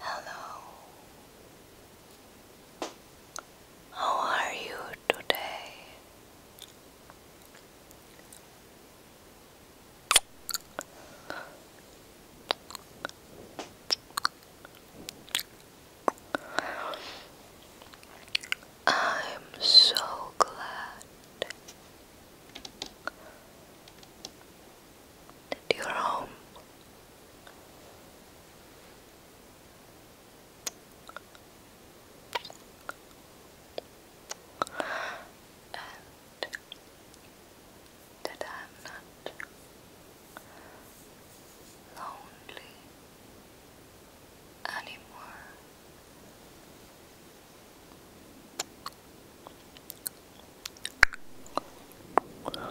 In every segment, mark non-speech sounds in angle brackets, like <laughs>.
Hello. How are you today? I'm so glad that you home. And that I'm not lonely anymore. I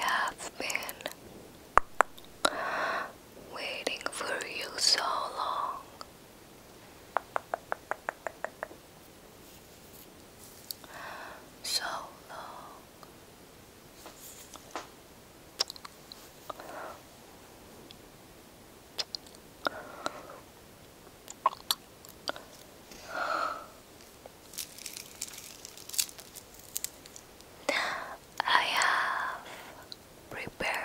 have been waiting for you so long. So long. I have prepared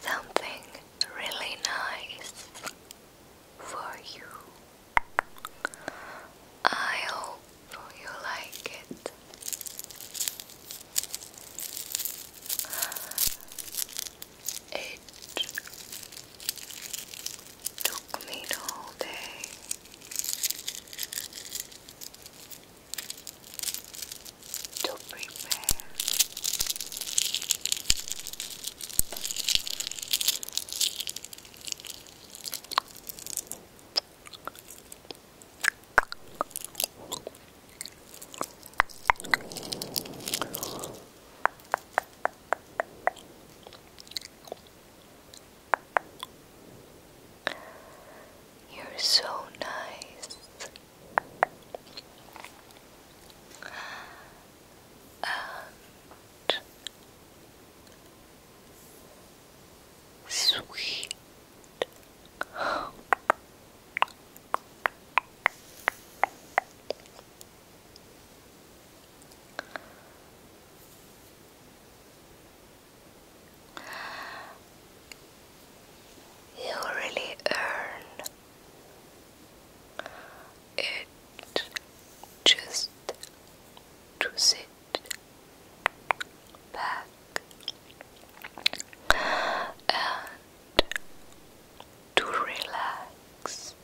something really nice for you. I hope you like it. It took me the whole day to prepare you're so nice and sweet. You really earn it just to sit back and to relax.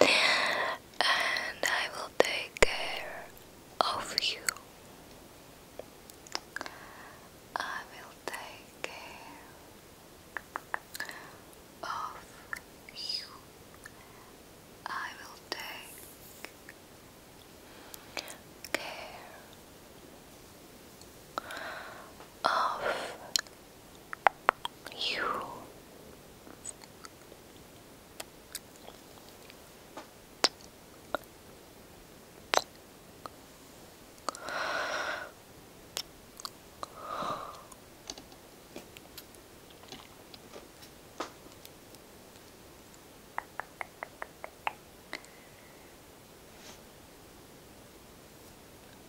And I will take care of you. I will take care of you. I will take care of you.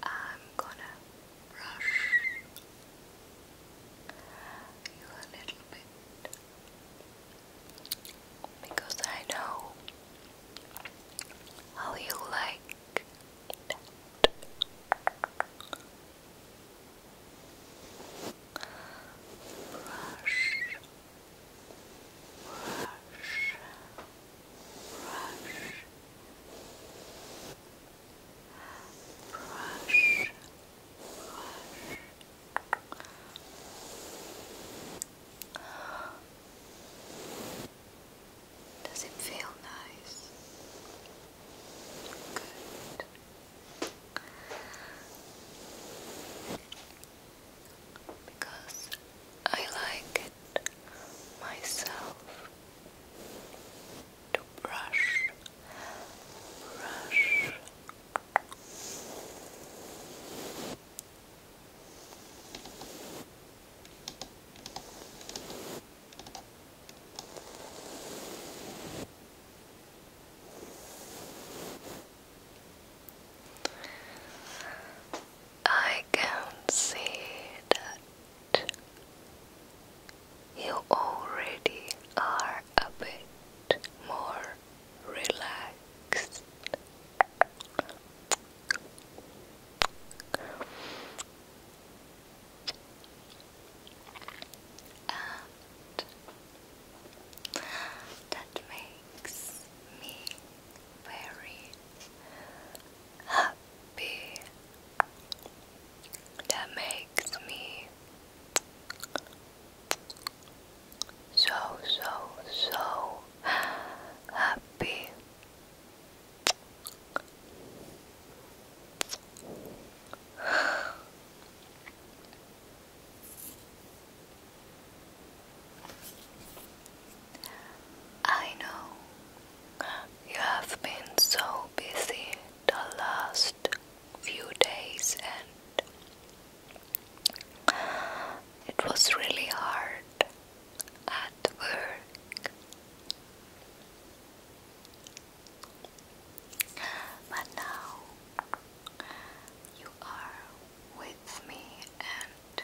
I'm gonna brush you a little bit because I know how you like Brush, brush, brush. Brush, brush. Does it feel nice? Good. Because I like it myself to brush, brush. I can see that you already are a bit more relaxed. And that makes me very happy. That makes me so, so, so happy. I know you have been so busy the last few days, and it was really hard at work. But now you are with me and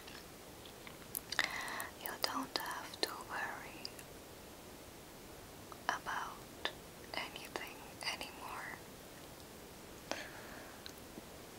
you don't have to worry about anything anymore.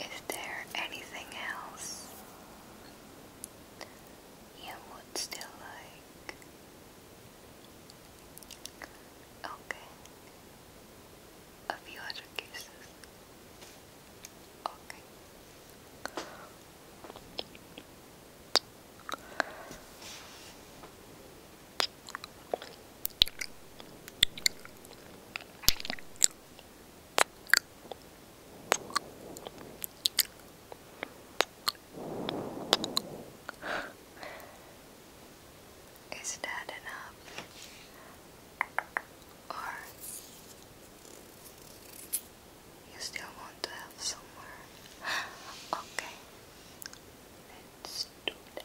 Is there anything else you would still like? Okay. A few other kisses. Okay. Is that enough? Or you still want to have some more? <gasps> okay, let's do that.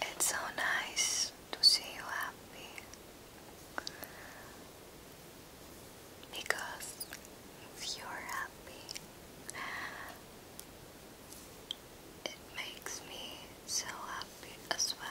It's so nice to see you happy because if you're happy, it makes me so happy as well.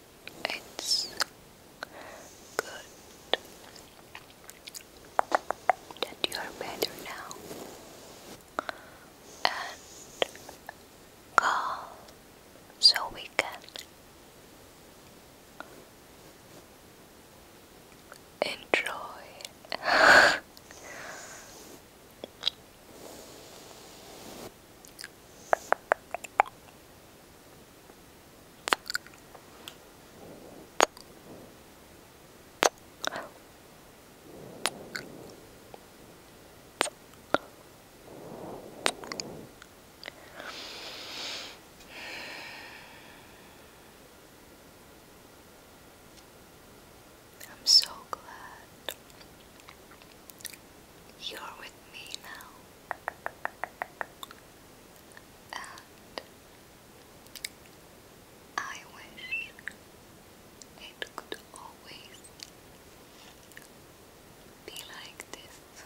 It's good that you are better now and calm so we can enjoy <laughs> I'm so glad you're with me now and I wish it could always be like this.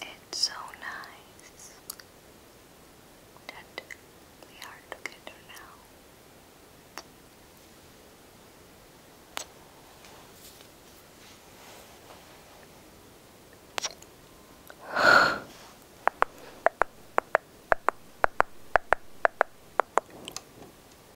It's so nice that we are together now.